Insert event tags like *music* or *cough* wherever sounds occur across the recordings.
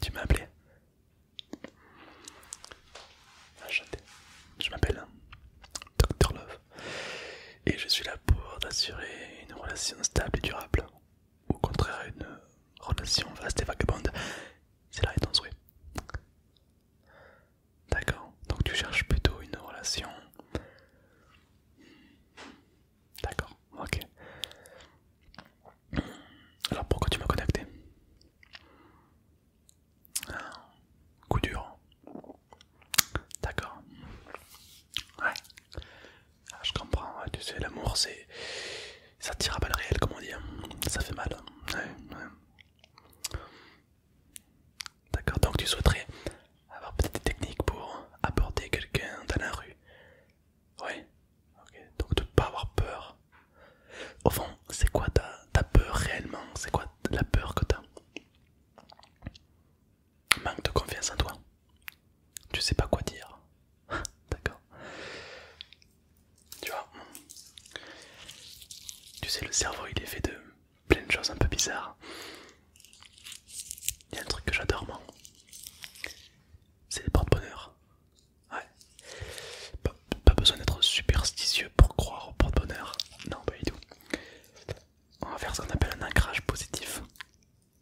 Tu m'as appelé ah, Je m'appelle hein. Dr Love et je suis là pour t'assurer une relation stable et durable. Au contraire, une relation vaste et vagabonde. C'est là réponse ton D'accord, donc tu cherches plutôt une relation D'accord, ok. Alors pourquoi tu m'as contacté ah, Coup dur. D'accord. Ouais. Ah, je comprends, tu sais, l'amour c'est. Ça tire à balles réelles, comme on dit. Hein. Ça fait mal. Hein. Ouais, ouais. D'accord, donc tu souhaiterais avoir peut-être des techniques pour aborder quelqu'un dans la rue. Ouais, donc de pas avoir peur. Au fond, c'est quoi ta, peur réellement C'est quoi la peur que t'as Manque de confiance en toi. Tu sais pas quoi dire. *laughs* D'accord. Tu vois, tu sais, le cerveau il est fait de plein de choses un peu bizarres. Il un truc que j'adore, moi. C'est les porte-bonheur. Ouais. Pas, besoin d'être superstitieux pour croire au porte-bonheur. Non, pas du tout. On va faire ce qu'on appelle un ancrage positif.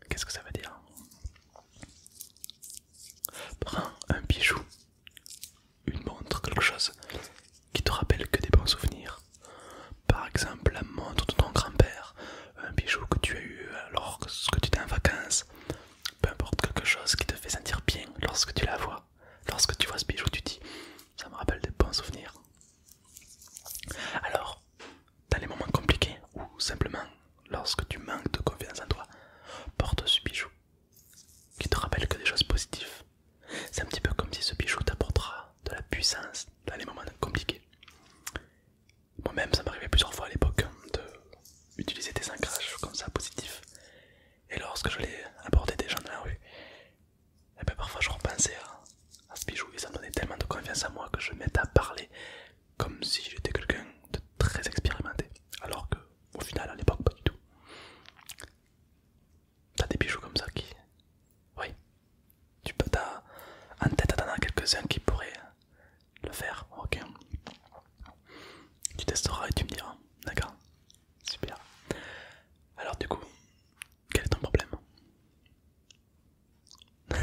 Qu'est-ce que ça veut dire Prends un bijou, une montre, quelque chose qui te rappelle que des bons souvenirs. Par exemple, la montre de ton grand-père un bijou que tu as eu euh, lorsque tu étais en vacances, peu importe quelque chose qui te fait sentir bien lorsque tu la vois, lorsque tu vois ce bijou, tu dis ça me rappelle des bons souvenirs. Alors, dans les moments compliqués ou simplement lorsque tu manques de confiance en toi, porte ce bijou qui te rappelle que des choses positives. C'est un petit peu comme si ce bijou t'apportera de la puissance dans les moments compliqués. Moi-même, ça m'arrivait plusieurs fois à l'époque hein, d'utiliser des ancrages comme ça positifs. Et lorsque je l'ai abordé des gens dans la rue, et eh bien parfois je repensais à, ce bijou et ça me donnait tellement de confiance en moi que je mettais à parler comme si j'étais quelqu'un de très expérimenté. Alors que, au final, à l'époque, pas du tout. T'as des bijoux comme ça qui. Oui, tu peux t'as en tête t'en quelques-uns qui pourraient le faire, ok Tu testeras et tu me diras, d'accord Super. Alors du coup, quel est ton problème *laughs*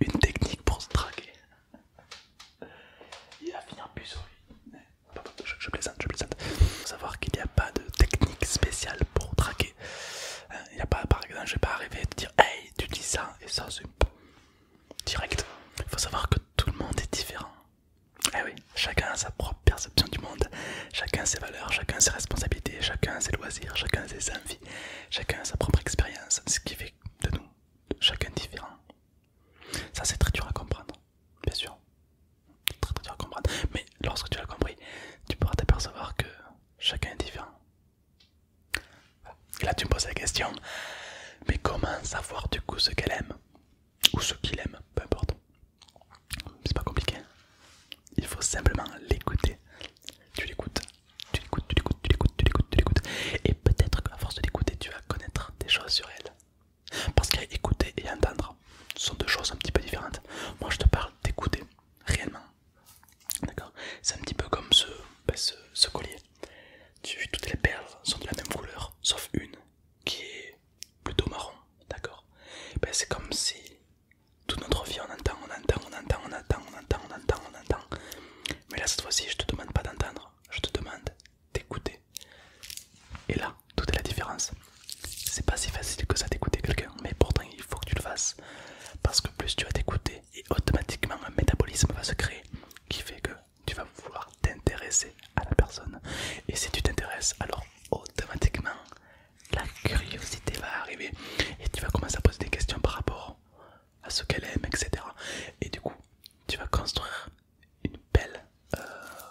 Une technique pour se traquer. Il va finir plus sur Je, plaisante, je plaisante. faut savoir qu'il n'y a pas de technique spéciale pour traquer. Hein, il n'y a pas, par exemple, je vais pas arriver à te dire Hey, tu dis ça et ça c'est direct. Il faut savoir que tout le monde est différent. Eh oui, chacun a sa propre perception du monde, chacun ses valeurs, chacun ses responsabilités, chacun ses loisirs, chacun ses envies, chacun sa propre expérience, ce qui fait de nous chacun différent. Ça c'est très dur à comprendre, bien sûr. Très très dur à comprendre. Mais lorsque tu l'as compris, tu pourras t'apercevoir que chacun est différent. Et là, tu me poses la question, mais comment savoir du coup ce qu'elle aime Ou ce qu'il aime, peu importe. C'est pas compliqué. Il faut simplement l'écouter. Tu l'écoutes, tu l'écoutes, tu l'écoutes, tu l'écoutes, tu l'écoutes, tu l'écoutes. Et peut-être qu'à force de l'écouter, tu vas connaître des choses sur elle. Parce qu'écouter et entendre sont deux choses un petit peu différentes. Moi, je te parle d'écouter réellement D'accord C'est un petit peu comme ce, bah, collier. toutes les perles sont de la même couleur, sauf une qui est plutôt marron. D'accord bah, C'est comme si toute notre vie on entend, on entend, on entend, on entend, on entend, on entend, on Mais là cette fois-ci, je te demande pas d'entendre, je te demande d'écouter. Et là, toute la différence. C'est pas si facile que ça d'écouter quelqu'un, mais pourtant il faut que tu le fasses. Parce que plus tu vas t'écouter, et automatiquement un métabolisme va se créer qui fait que tu vas vouloir t'intéresser à la personne et si tu t'intéresses alors automatiquement la curiosité va arriver et tu vas commencer à poser des questions par rapport à ce qu'elle aime etc et du coup tu vas construire une belle euh,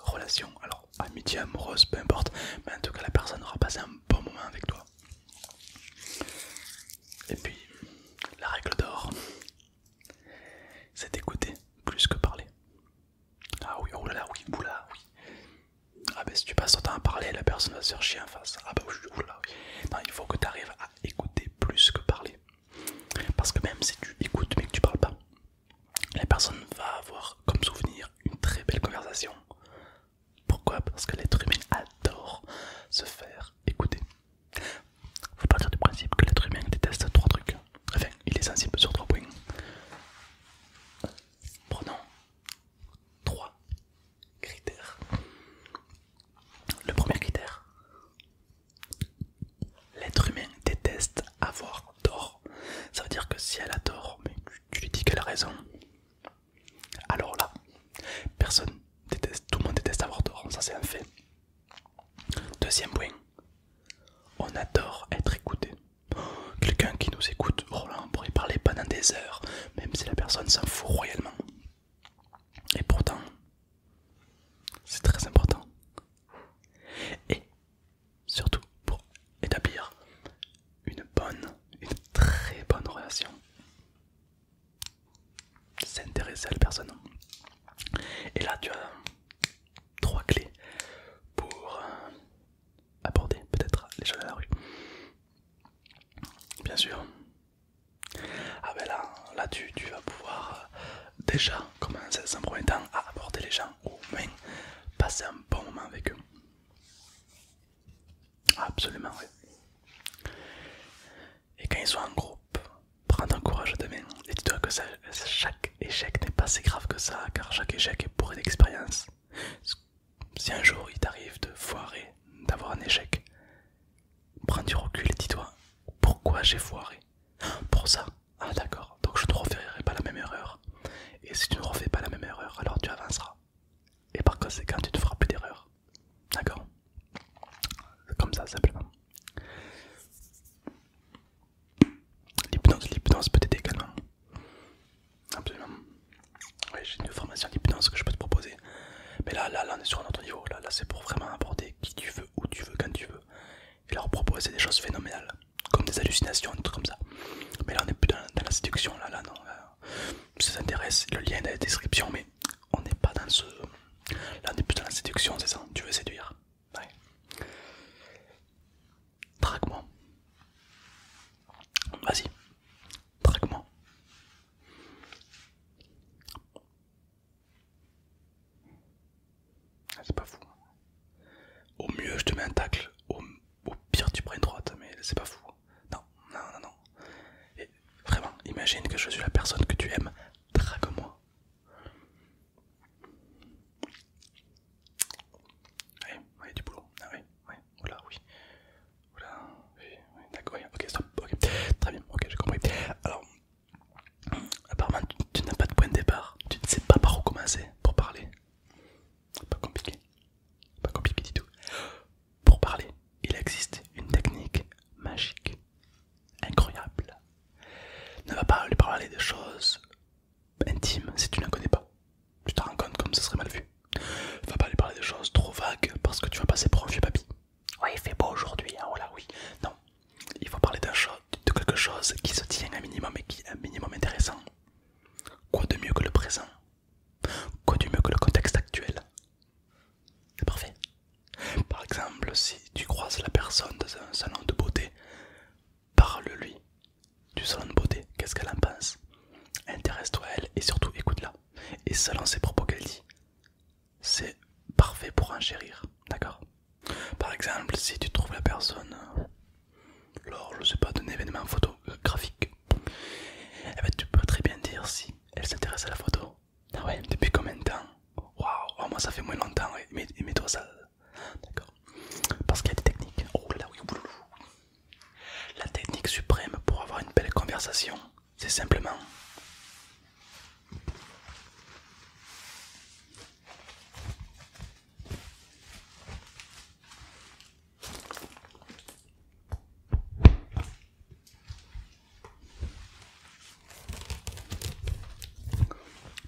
relation alors amitié amoureuse peu importe mais en tout cas la personne aura passé un bon moment avec toi et puis, la règle d'or, c'est d'écouter plus que parler. Ah oui, oulala, oh oui, oula, oui. Ah ben si tu passes ton temps à parler, la personne va se faire chier en face. Ah ben oulala, oui. Non, il faut que tu arrives à écouter plus que parler. Parce que même si tu écoutes mais que tu parles pas, la personne va avoir comme souvenir une très belle conversation. Pourquoi Parce que l'être humain adore se faire écouter. Faut partir du principe que l'être humain déteste trois trucs. Enfin, il est sensible sur trois points. Prenons trois critères. Le premier critère, l'être humain déteste avoir tort. Ça veut dire que si elle a tort, mais tu lui dis qu'elle a raison, alors là, personne déteste, tout le monde déteste avoir tort, ça c'est un fait. Deuxième point, on adore être écouté. Quelqu'un qui nous écoute, Roland oh pourrait parler pendant des heures, même si la personne s'en fout royalement. Et pourtant, c'est très important. Et surtout pour établir une bonne, une très bonne relation s'intéresser à la personne. Et là, tu as trois clés pour euh, aborder peut-être les gens de la rue. Bien sûr. Ah ben là, là tu, tu vas pouvoir euh, déjà commencer premier temps à aborder les gens ou même passer un bon moment avec eux. Absolument, Et quand ils sont en groupe, prends ton courage demain et dis-toi que chaque échec n'est pas si grave que ça, car chaque échec est bourré d'expérience. Si un jour il t'arrive de foirer, d'avoir un échec, prends du recul et dis-toi pourquoi j'ai foiré. Pour ça, ah d'accord, donc je ne referai pas la même erreur. Et si tu ne refais pas la même erreur, alors tu avanceras. Et par conséquent, tu ne feras plus d'erreur. D'accord Comme ça, simplement. L'hypnose, l'hypnose peut être également. Absolument. Oui, j'ai une formation d'hypnose que je peux te proposer. Mais là, là, là, on est sur un autre niveau. Là, là c'est pour vraiment apporter qui tu veux, où tu veux, quand tu veux. Et leur proposer des choses phénoménales. Comme des hallucinations, des trucs comme ça. Mais là, on est plus dans, la séduction. Là, là, non. ça t'intéresse, le lien est dans la description on n'est pas dans ce. Là, on est plus dans la séduction, c'est ça Tu veux séduire Ouais. Traque-moi. Vas-y. Traque-moi. Ah, c'est pas fou. Au mieux, je te mets un tacle. Au, pire, tu prends une droite, mais c'est pas fou. Non, non, non, non vraiment, imagine que je suis la personne que tu aimes, drague-moi. Oui, oui, du boulot. Ah oui, oui, voilà, oui. Voilà, oui, d'accord, ok, stop, ok. Très bien, ok, j'ai compris. Alors, apparemment, tu n'as pas de point de départ, tu ne sais pas par où commencer pour parler. Pas compliqué, pas compliqué du tout. Pour parler, il existe une technique magique, incroyable. Ne va pas lui parler de choses intimes si tu ne la connais pas. Tu te rends compte comme ça serait mal vu. Ne Va pas lui parler de choses trop vagues parce que tu vas passer pour un vieux papy. Oui, il fait beau aujourd'hui, hein, oh là oui. Non, il faut parler d'un de quelque chose qui se tient un minimum et qui est un minimum intéressant. Quoi de mieux que le présent Quoi de mieux que le contexte actuel c'est parfait. Par exemple, si tu croises la personne dans un salon de beauté, parle-lui du salon de beauté. Qu'est-ce qu'elle en pense Intéresse-toi à elle et surtout écoute-la. Et selon ses propos qu'elle dit, c'est parfait pour enchérir. D'accord Par exemple, si tu trouves la personne lors, je sais pas, d'un événement photographique, eh ben, tu peux très bien dire si elle s'intéresse à la photo ah ouais Depuis combien de temps Waouh, ah, moi ça fait moins longtemps, mais, mets toi ça. D'accord. Parce qu'il y a des techniques. Oh là oui, La technique suprême pour avoir une belle conversation, c'est simplement.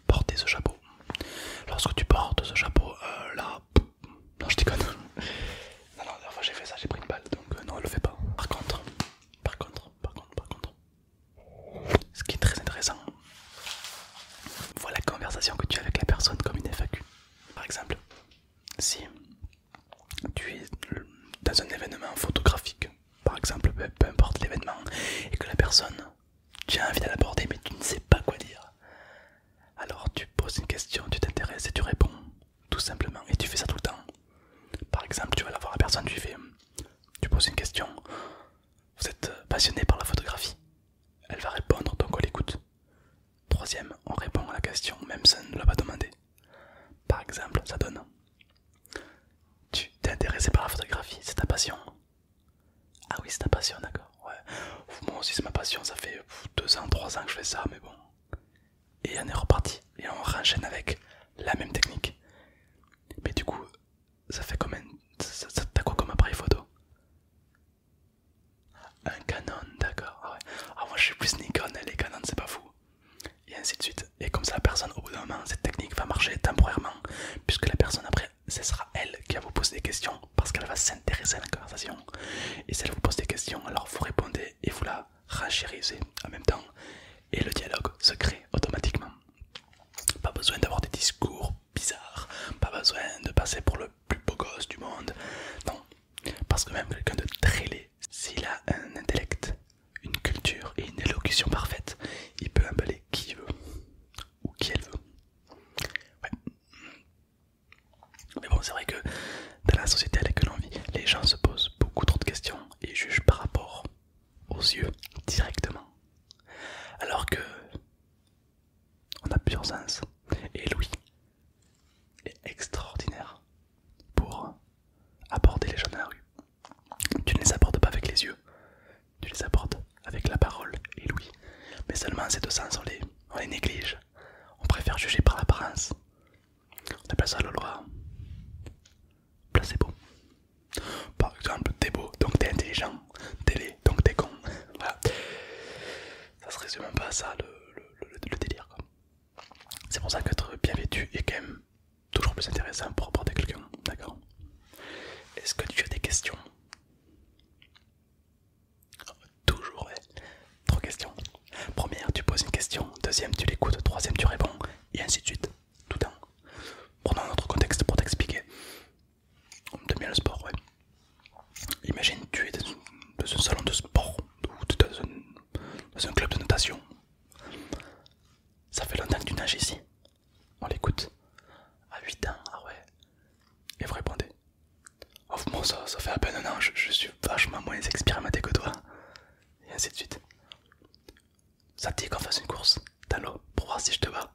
Porter ce chapeau. Lorsque tu portes ce chapeau, euh, là... Non, je déconne. Non, non, la fois j'ai fait ça, j'ai pris une balle, donc euh, non, elle le fait pas. Par contre, par contre, par contre, par contre, ce qui est très intéressant, voilà la conversation que tu as avec la personne comme une FAQ. Par exemple, si tu es dans un événement photographique, par exemple, peu, importe l'événement, et que la personne, tu as envie de mais tu ne sais pas quoi dire. Alors tu poses une question, tu t'intéresses et tu réponds, tout simplement, et tu fais ça tout le temps. Par exemple, tu vas la voir la personne, tu fais, tu poses une question, vous êtes passionné par la photographie, elle va répondre, donc on l'écoute. Troisième, on répond à la question, même si ne l'a pas demandé. Par exemple, ça donne Tu t'es intéressé par la photographie, c'est ta passion Ah oui, c'est ta passion, d'accord. Ouais. Moi aussi, c'est ma passion, ça fait 2 ans, 3 ans que je fais ça, mais bon. Et on est reparti, et on re-enchaîne avec la même technique. Mais du coup, ça fait combien T'as quoi comme appareil photo un Canon, d'accord. Ah ouais. Ah, moi je suis plus Nikon les Canon c'est pas fou et ainsi de suite. Et comme ça, la personne, au bout d'un moment, cette technique va marcher temporairement, puisque la personne, après, ce sera elle qui va vous poser des questions, parce qu'elle va s'intéresser à la conversation. Et si elle vous pose des questions, alors vous répondez et vous la rachérisez en même temps, et le dialogue se crée automatiquement. Pas besoin d'avoir des discours bizarres, pas besoin de passer pour le plus beau gosse du monde, non, parce que même quelqu'un de très laid, s'il a un intellect une culture et une élocution parfaite, il peut emballer qui veut ou qui elle veut. Mais bon, c'est vrai que dans la société à laquelle on vit, les gens se posent beaucoup trop de questions et jugent par rapport aux yeux directement. Alors que on a plusieurs sens et Louis est extraordinaire pour aborder les gens dans la rue. Tu ne les apportes pas avec les yeux, tu les apportes avec la parole et l'ouïe. Mais seulement ces deux sens, on les, néglige. On préfère juger par l'apparence. On appelle ça la loi placebo. Par exemple, t'es beau, donc t'es intelligent. T'es laid, donc t'es con. voilà. Ça se résume un à ça le délire. C'est pour ça qu'être bien vêtu est quand même toujours plus intéressant pour à quelqu'un, d'accord Est-ce que tu as des questions Toujours, ouais. Trois questions. Première, tu poses une question. Deuxième, tu l'écoutes. Troisième, tu réponds. Et ainsi de suite. Tout Prenons un notre contexte pour t'expliquer. On me bien le sport, ouais. Imagine, tu es dans, un salon de sport ou dans un, club de notation ça fait longtemps que tu nages ici On l'écoute. À 8 ans, ah ouais. Et vous répondez. Oh, ça, ça fait à peine un an, je, suis vachement moins expérimenté que toi. Et ainsi de suite. Ça te dit qu'on fasse une course dans l'eau pour voir si je te bats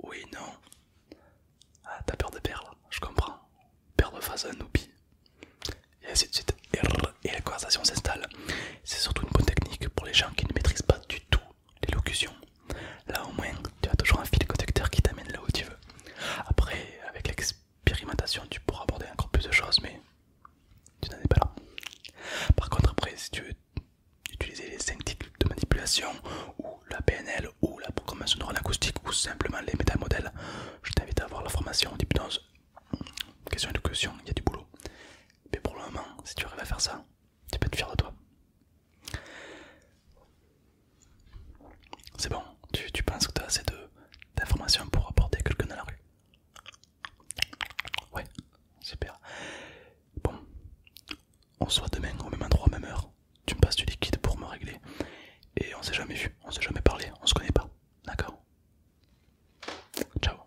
Oui, non. Ah, t'as peur de perdre, je comprends. Perdre face à un noobie et ainsi de suite. Et la conversation s'installe. C'est surtout une bonne technique pour les gens qui ne maîtrisent pas du tout l'élocution. Là au moins, tu as toujours un fil conducteur qui t'amène là où tu veux. Après, avec l'expérimentation, tu pourras aborder encore plus de choses, mais tu n'en es pas là. Par contre, après, si tu veux utiliser les techniques de manipulation ou la PNL ou la programmation neuronale acoustique ou simplement les modèles je t'invite à voir la formation d'hypnose. Question élocution, il y a du boulot. Mais pour le moment, si tu arrives à faire ça, tu peux être fier de toi. C'est bon, tu, penses que tu as assez d'informations pour apporter quelqu'un dans la rue Ouais, super. Bon, on se voit demain au même endroit, même heure. Tu me passes du liquide pour me régler. Et on s'est jamais vu, on s'est jamais parlé, on se connaît pas. D'accord Ciao